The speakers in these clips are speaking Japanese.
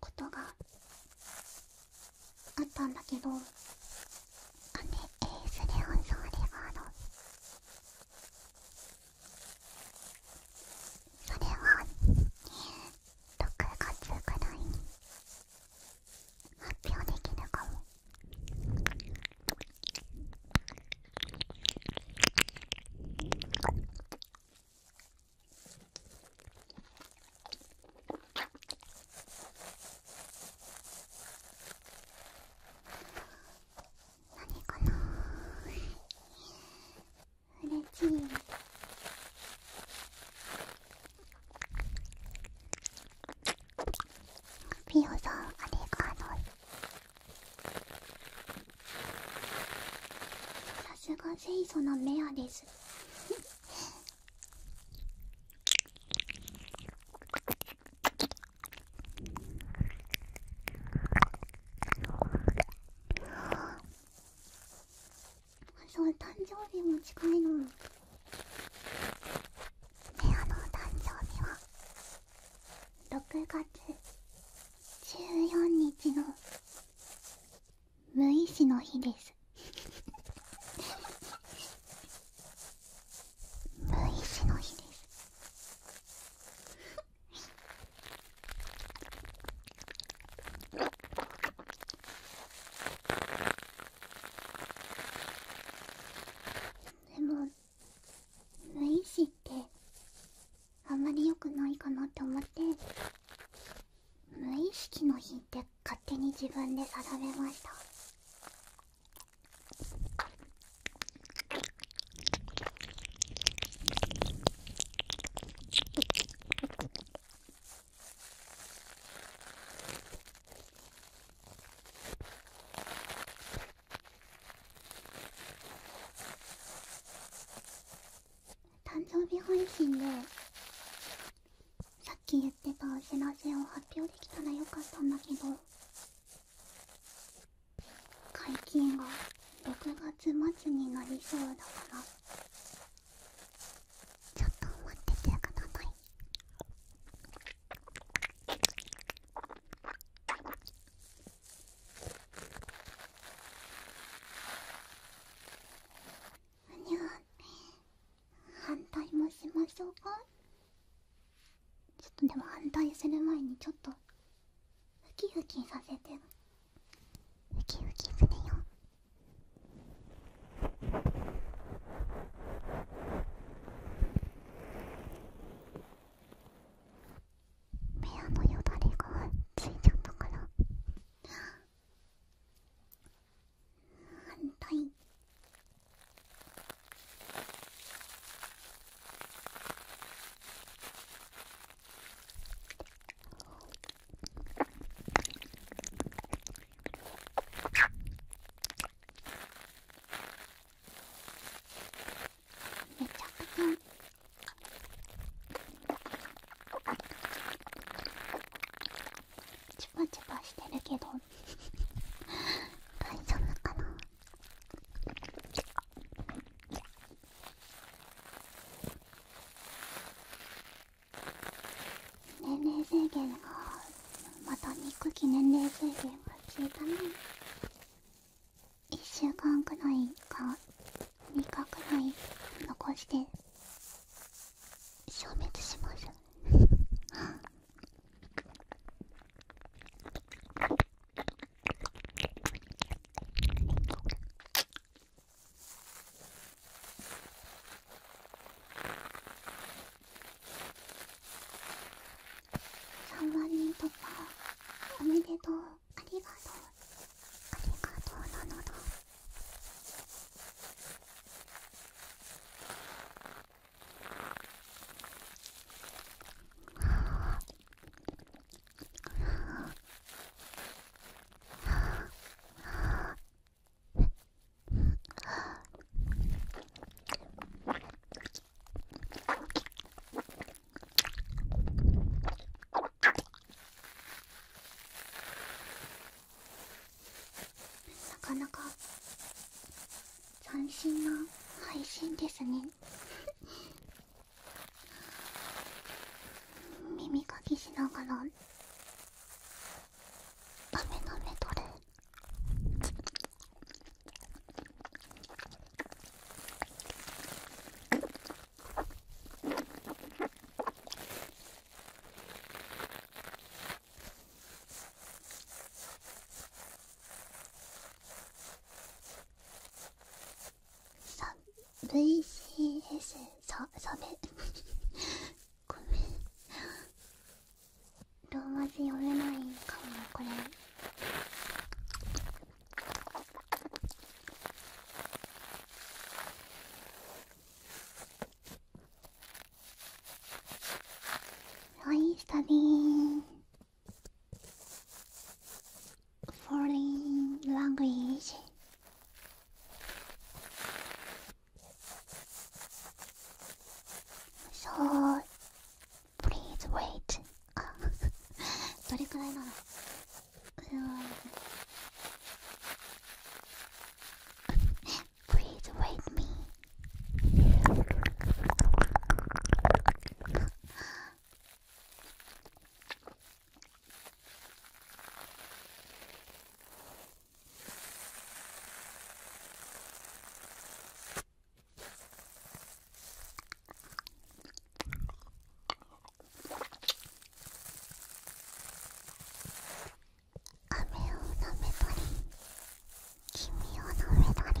ことがあったんだけどあねえー、それをそうであのそれは6月くらいに発表できるかも。何かな嬉しいピオさんありがとうさすが清楚なメアですそう誕生日も近いの。に。メアのお誕生日は6月14日の無意志の日です無意志の日ですでも無意志ってあまり良くないかなって思って無意識の日って勝手に自分で定めました誕生日配信でさっき言ってたお知らせを発表できたらよかったんだけど会期が6月末になりそうだからちょっと待っててください。にゃ反対もしましょうかちょっとでも反対する前にちょっとふきふきさせてふきふきするよ目屋のよだれがついちゃったから反対めちゃくちゃ。チュパチュパしてるけど大丈夫かな年齢制限がまた憎き年齢制限が消えたね1週間くらいか2日くらい残して消滅します三万人突破おめでとうありがとうありがとうなのだなかなか斬新な配信ですね 耳かきしながらダメダメ取れさ VCS さ、サメごめんローマ字読めないかもこれはいスタディー foreign language そう please wait あどれくらいなのうわ please wait me 雨を舐めたり君を舐めたり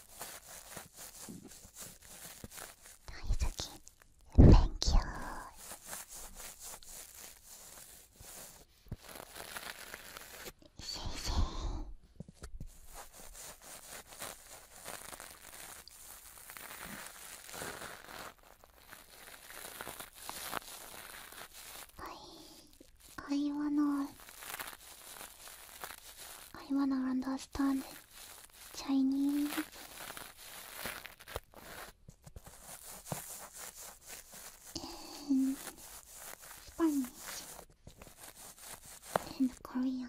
大好き Thank you 先生はい会の I wanna understand Chinese. And Spanish and Korean.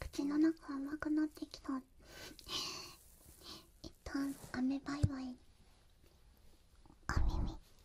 口の中甘くなってきた一旦雨バイバイお耳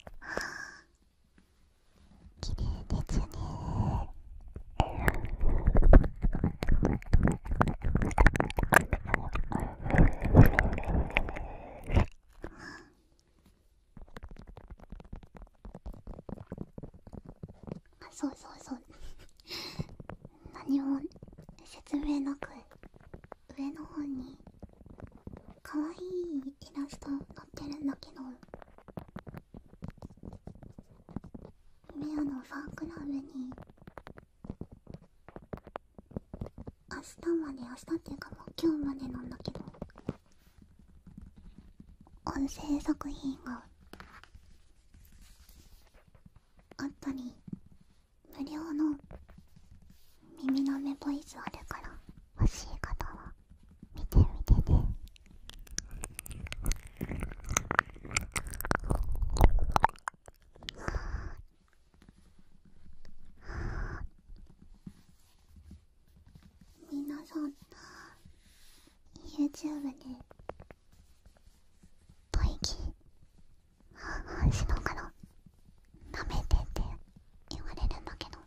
綺麗ですねあそうそうそう何も説明なく上の方に可愛いイラスト載ってるんだけどレアのファンクラブに明日まで明日っていうかもう今日までなんだけど音声作品があったり無料の耳のめボイスあるから欲しい方は見てみてねみなさん YouTube で待機半々しなからなめてって言われるんだけど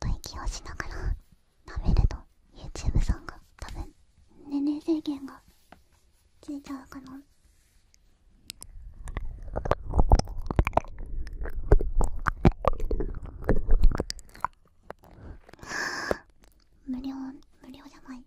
吐息をしながらなめると YouTube さんが多分年齢制限がついちゃうかな無料無料じゃない